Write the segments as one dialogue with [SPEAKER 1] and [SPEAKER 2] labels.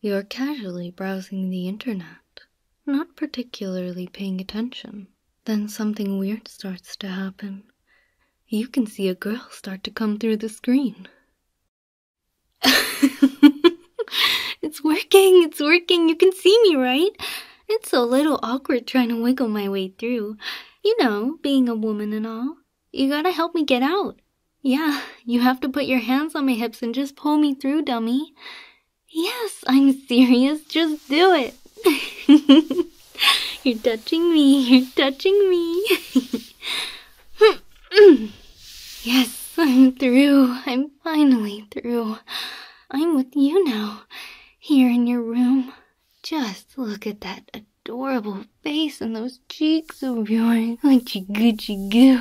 [SPEAKER 1] You're casually browsing the internet, not particularly paying attention. Then something weird starts to happen. You can see a girl start to come through the screen. it's working, it's working, you can see me, right? It's a little awkward trying to wiggle my way through. You know, being a woman and all. You gotta help me get out. Yeah, you have to put your hands on my hips and just pull me through, dummy. Yes, I'm serious. Just do it. you're touching me. You're touching me. yes, I'm through. I'm finally through. I'm with you now, here in your room. Just look at that adorable face and those cheeks of yours. Like chigoo goo.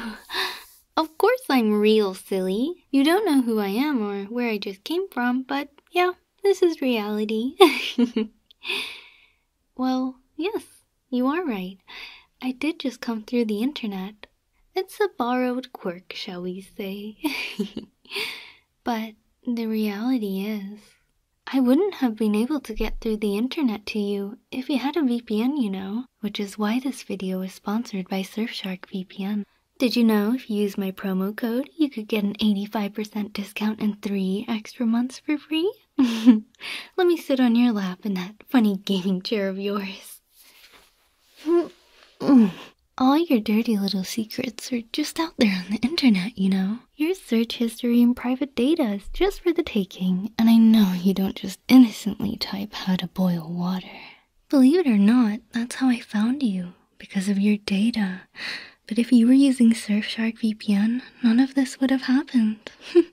[SPEAKER 1] Of course I'm real, silly. You don't know who I am or where I just came from, but yeah, this is reality. well, yes, you are right. I did just come through the internet. It's a borrowed quirk, shall we say. but the reality is, I wouldn't have been able to get through the internet to you if you had a VPN, you know, which is why this video is sponsored by Surfshark VPN. Did you know if you use my promo code, you could get an 85% discount and 3 extra months for free? Let me sit on your lap in that funny gaming chair of yours. All your dirty little secrets are just out there on the internet, you know. Your search history and private data is just for the taking, and I know you don't just innocently type how to boil water. Believe it or not, that's how I found you, because of your data. But if you were using Surfshark VPN, none of this would have happened.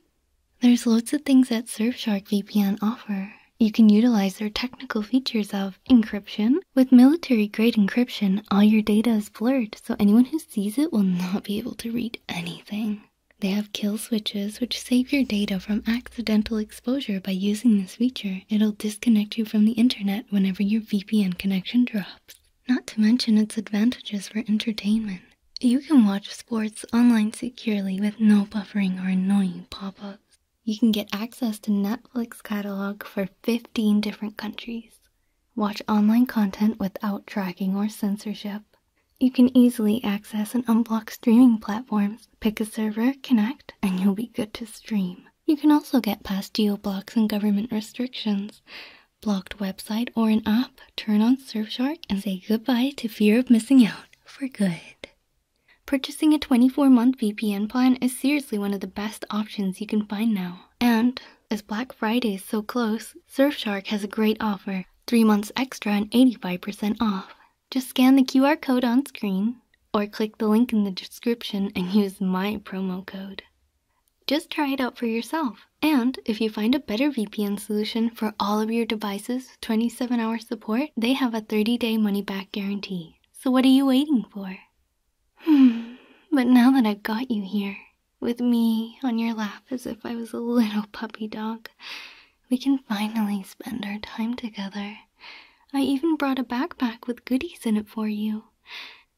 [SPEAKER 1] There's loads of things that Surfshark VPN offer. You can utilize their technical features of encryption. With military grade encryption, all your data is blurred, so anyone who who sees it will not be able to read anything. They have kill switches which save your data from accidental exposure by using this feature. It'll disconnect you from the internet whenever your VPN connection drops. Not to mention its advantages for entertainment. You can watch sports online securely with no buffering or annoying pop ups. You can get access to Netflix catalog for 15 different countries. Watch online content without tracking or censorship. You can easily access and unblock streaming platforms. Pick a server, connect, and you'll be good to stream. You can also get past geo-blocks and government restrictions. Blocked website or an app, turn on Surfshark and say goodbye to fear of missing out for good. Purchasing a 24-month VPN plan is seriously one of the best options you can find now. And as Black Friday is so close, Surfshark has a great offer. Three months extra and 85% off. Just scan the QR code on screen or click the link in the description and use my promo code. Just try it out for yourself. And if you find a better VPN solution for all of your devices, 27 hour support, they have a 30 day money back guarantee. So what are you waiting for? Hmm, but now that I've got you here, with me on your lap as if I was a little puppy dog. We can finally spend our time together. I even brought a backpack with goodies in it for you.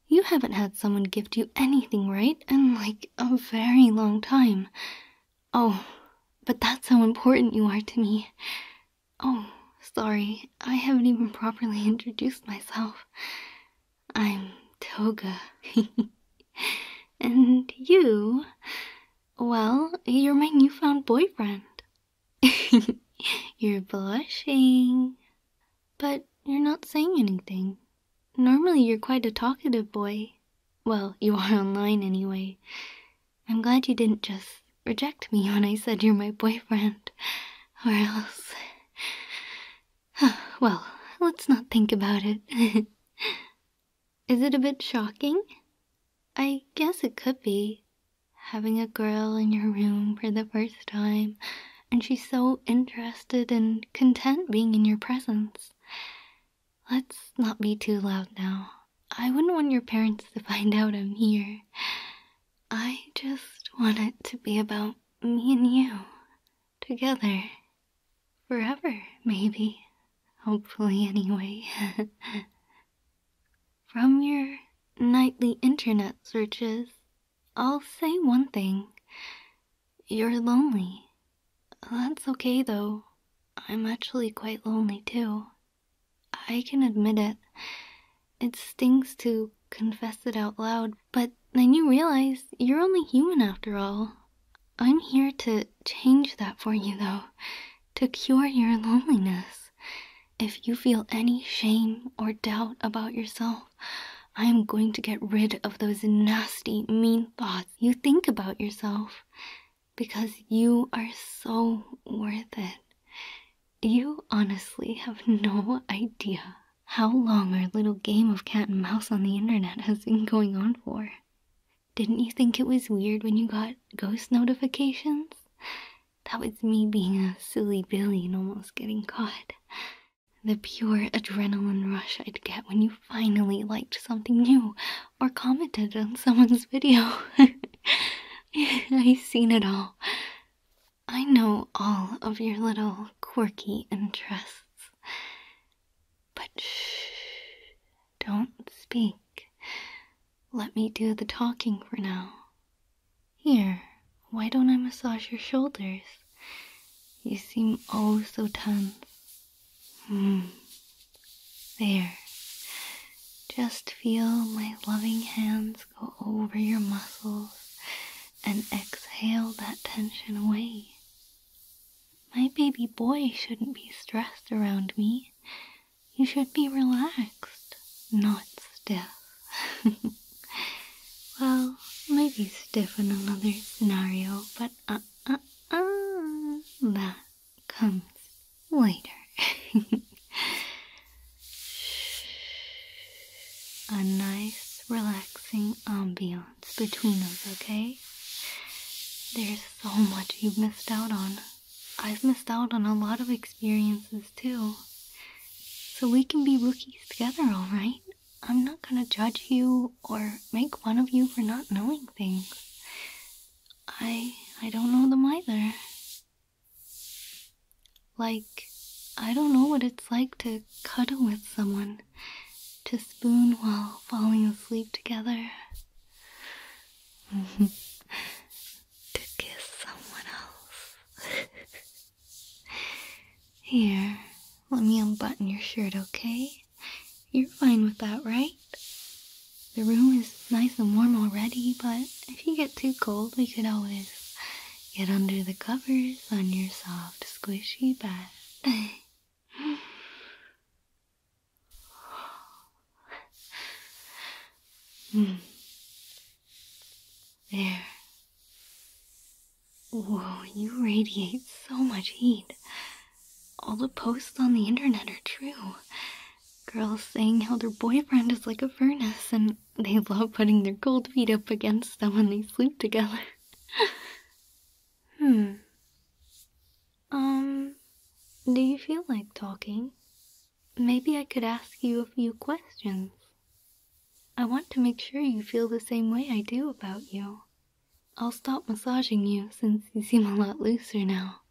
[SPEAKER 1] You haven't had someone gift you anything, right? In like a very long time. Oh, but that's how important you are to me. Oh, sorry, I haven't even properly introduced myself. I'm Toga. and you? Well, you're my newfound boyfriend. you're blushing. But you're not saying anything. Normally, you're quite a talkative boy. Well, you are online anyway. I'm glad you didn't just reject me when I said you're my boyfriend, or else well, let's not think about it. Is it a bit shocking? I guess it could be. Having a girl in your room for the first time, and she's so interested and content being in your presence. Let's not be too loud now. I wouldn't want your parents to find out I'm here. I just want it to be about me and you together forever, maybe. Hopefully, anyway. From your nightly internet searches, I'll say one thing. You're lonely. That's okay, though. I'm actually quite lonely, too. I can admit it. It stings to confess it out loud, but then you realize you're only human after all. I'm here to change that for you, though, to cure your loneliness. If you feel any shame or doubt about yourself, I am going to get rid of those nasty, mean thoughts you think about yourself because you are so worth it. You honestly have no idea how long our little game of cat and mouse on the internet has been going on for. Didn't you think it was weird when you got ghost notifications? That was me being a silly Billy and almost getting caught. The pure adrenaline rush I'd get when you finally liked something new or commented on someone's video. I've seen it all. I know all of your little quirky interests. But shh, don't speak. Let me do the talking for now. Here, why don't I massage your shoulders? You seem oh so tense. Hmm. There. Just feel my loving hands go over your muscles and exhale that tension away. My baby boy shouldn't be stressed around me. You should be relaxed, not stiff. well, maybe stiff in another scenario, but uh uh uh, that comes later. A nice, relaxing ambiance between us, okay? There's so much you've missed out on. I've missed out on a lot of experiences too. So we can be rookies together, alright? I'm not gonna judge you or make fun of you for not knowing things. I I don't know them either. Like, I don't know what it's like to cuddle with someone to spoon while falling asleep together. to kiss someone else. Here, let me unbutton your shirt, okay? You're fine with that, right? The room is nice and warm already, but if you get too cold, we could always get under the covers on your soft, squishy bed. Mm. There. Whoa, you radiate so much heat. All the posts on the internet are true. Girls saying how their boyfriend is like a furnace and they love putting their cold feet up against them when they sleep together. Hmm. Um, do you feel like talking? Maybe I could ask you a few questions. I want to make sure you feel the same way I do about you. I'll stop massaging you since you seem a lot looser now.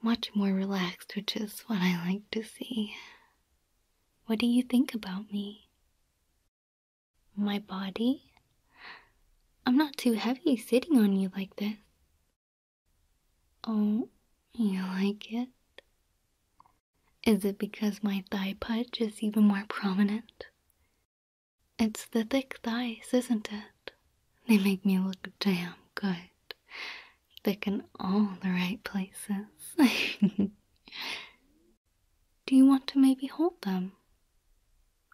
[SPEAKER 1] Much more relaxed, which is what I like to see. What do you think about me? My body? I'm not too heavy sitting on you like this. Oh, you like it? Is it because my thigh pudge is even more prominent? It's the thick thighs, isn't it? They make me look damn good. Thick in all the right places. Do you want to maybe hold them?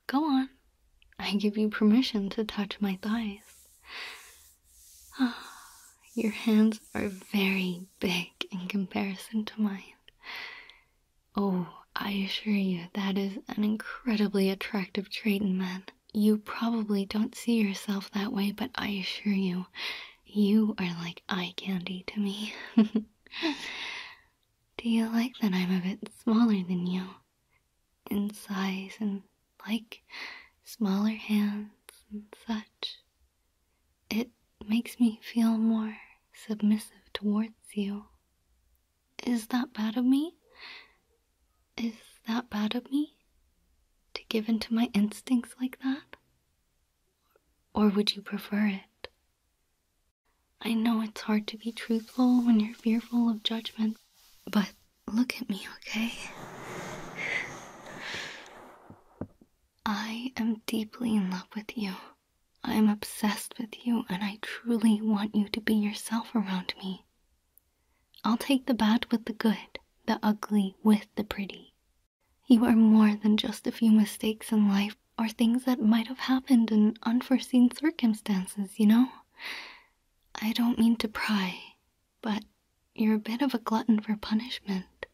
[SPEAKER 1] Go on. I give you permission to touch my thighs. Ah, your hands are very big in comparison to mine. Oh, I assure you, that is an incredibly attractive trait in men. You probably don't see yourself that way, but I assure you, you are like eye candy to me. Do you like that I'm a bit smaller than you? In size and like smaller hands and such. It makes me feel more submissive towards you. Is that bad of me? Is that bad of me? To give in to my instincts like that? Or would you prefer it? I know it's hard to be truthful when you're fearful of judgment, but look at me, okay? I am deeply in love with you. I'm obsessed with you, and I truly want you to be yourself around me. I'll take the bad with the good, the ugly with the pretty. You are more than just a few mistakes in life or things that might have happened in unforeseen circumstances, you know? I don't mean to pry, but you're a bit of a glutton for punishment.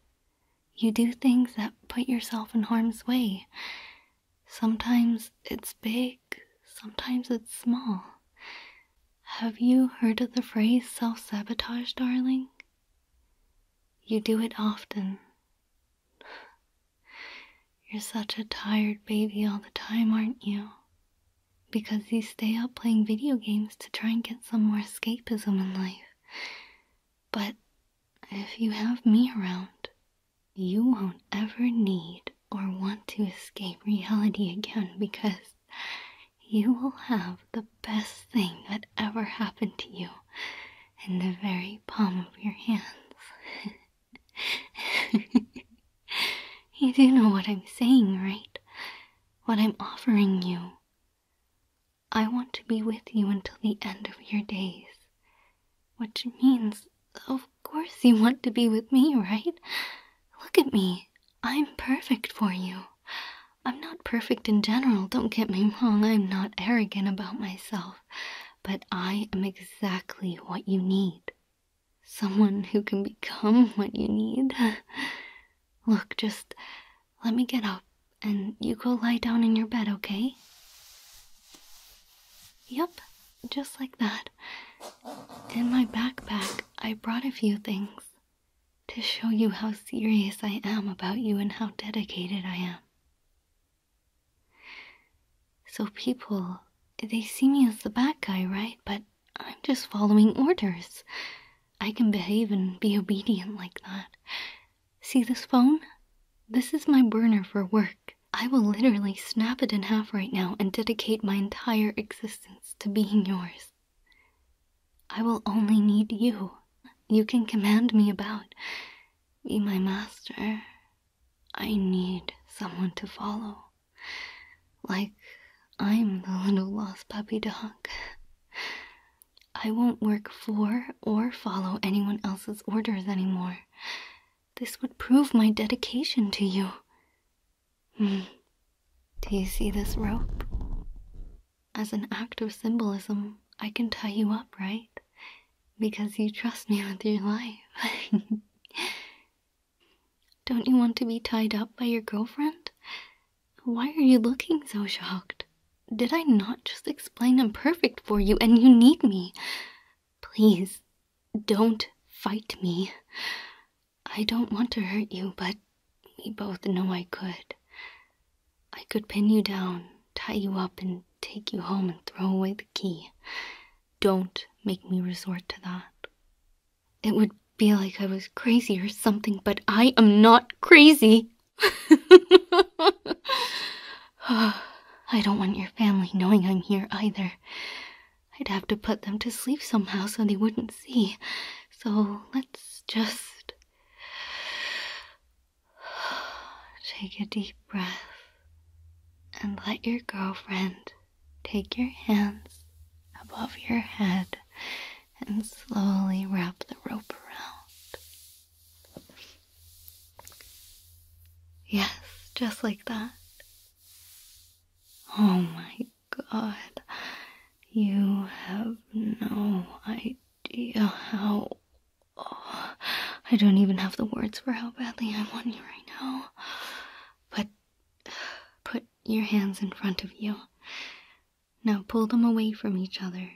[SPEAKER 1] You do things that put yourself in harm's way. Sometimes it's big, sometimes it's small. Have you heard of the phrase self sabotage, darling? You do it often, you're such a tired baby all the time, aren't you? Because you stay up playing video games to try and get some more escapism in life. But if you have me around, you won't ever need or want to escape reality again because you will have the best thing that ever happened to you in the very palm of your hands. you do know what I'm saying, right? What I'm offering you. I want to be with you until the end of your days. Which means, of course, you want to be with me, right? Look at me. I'm perfect for you. I'm not perfect in general, don't get me wrong. I'm not arrogant about myself but I am exactly what you need. Someone who can become what you need. Look, just let me get up and you go lie down in your bed, okay? Yep, just like that. In my backpack, I brought a few things to show you how serious I am about you and how dedicated I am. So people, they see me as the bad guy, right? But I'm just following orders. I can behave and be obedient like that. See this phone? This is my burner for work. I will literally snap it in half right now and dedicate my entire existence to being yours. I will only need you. You can command me about, be my master, I need someone to follow. Like I'm the little lost puppy dog. I won't work for or follow anyone else's orders anymore. This would prove my dedication to you. Hmm. Do you see this rope? As an act of symbolism, I can tie you up, right? because you trust me with your life. Don't you want to be tied up by your girlfriend? Why are you looking so shocked? Did I not just explain I'm perfect for you and you need me? Please, don't fight me. I don't want to hurt you, but we both know I could. I could pin you down, tie you up, and take you home and throw away the key. Don't make me resort to that. It would be like I was crazy or something, but I am not crazy. I don't want your family knowing I'm here either. I'd have to put them to sleep somehow so they wouldn't see. So let's just take a deep breath and let your girlfriend take your hands above your head and slowly wrap the rope around. Yes, just like that. Oh my god, you have no idea how. Oh, I don't even have the words for how badly I want you right now. Put, put your hands in front of you. Now pull them away from each other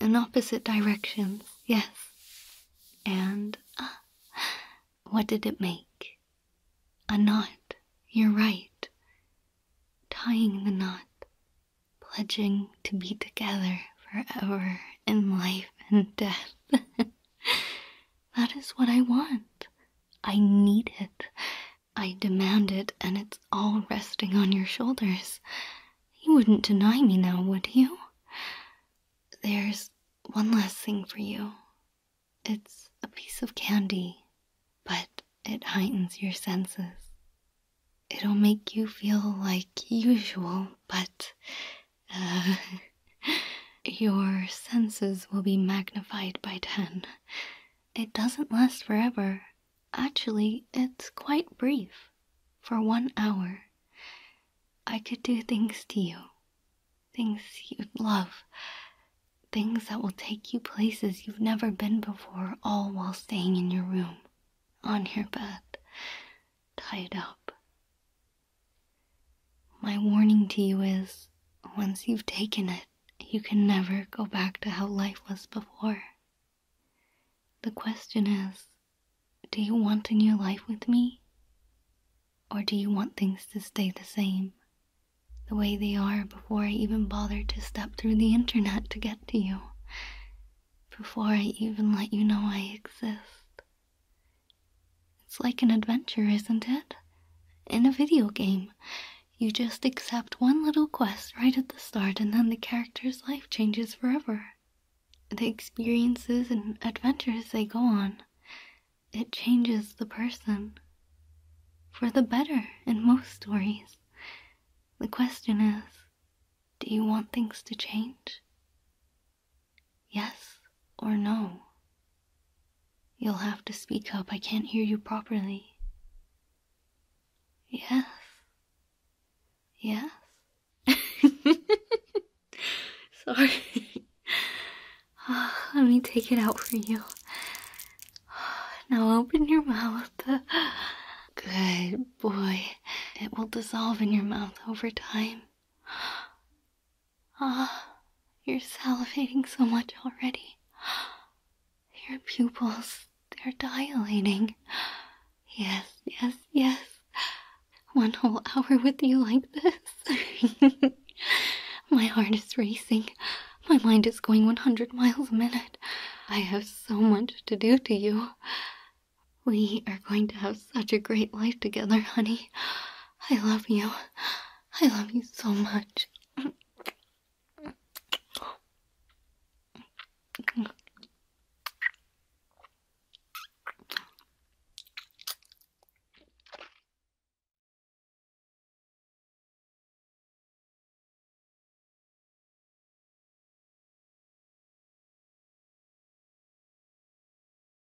[SPEAKER 1] in opposite directions. Yes. And uh, what did it make? A knot. You're right. Tying the knot, pledging to be together forever in life and death. That is what I want. I need it. I demand it, and it's all resting on your shoulders. You wouldn't deny me now, would you? There's one last thing for you. It's a piece of candy, but it heightens your senses. It'll make you feel like usual, but your senses will be magnified by ten. It doesn't last forever. Actually, it's quite brief. For one hour, I could do things to you, things you love, things that will take you places you've never been before, all while staying in your room, on your bed, tied up, my warning to you is once you've taken it, you can never go back to how life was before. The question is do you want a new life with me? Or do you want things to stay the same, the way they are before I even bothered to step through the internet to get to you, before I even let you know I exist? It's like an adventure, isn't it? In a video game. You just accept one little quest right at the start, and then the character's life changes forever. The experiences and adventures they go on, it changes the person. For the better in most stories. The question is do you want things to change? Yes or no? You'll have to speak up. I can't hear you properly. Yes. Yes. Sorry. let me take it out for you. Now open your mouth. Good boy. It will dissolve in your mouth over time. Ah, you're salivating so much already. Your pupils, they're dilating. Yes, yes, yes. One whole hour with you like this. My heart is racing. My mind is going 100 miles a minute. I have so much to do to you. We are going to have such a great life together, honey. I love you. I love you so much.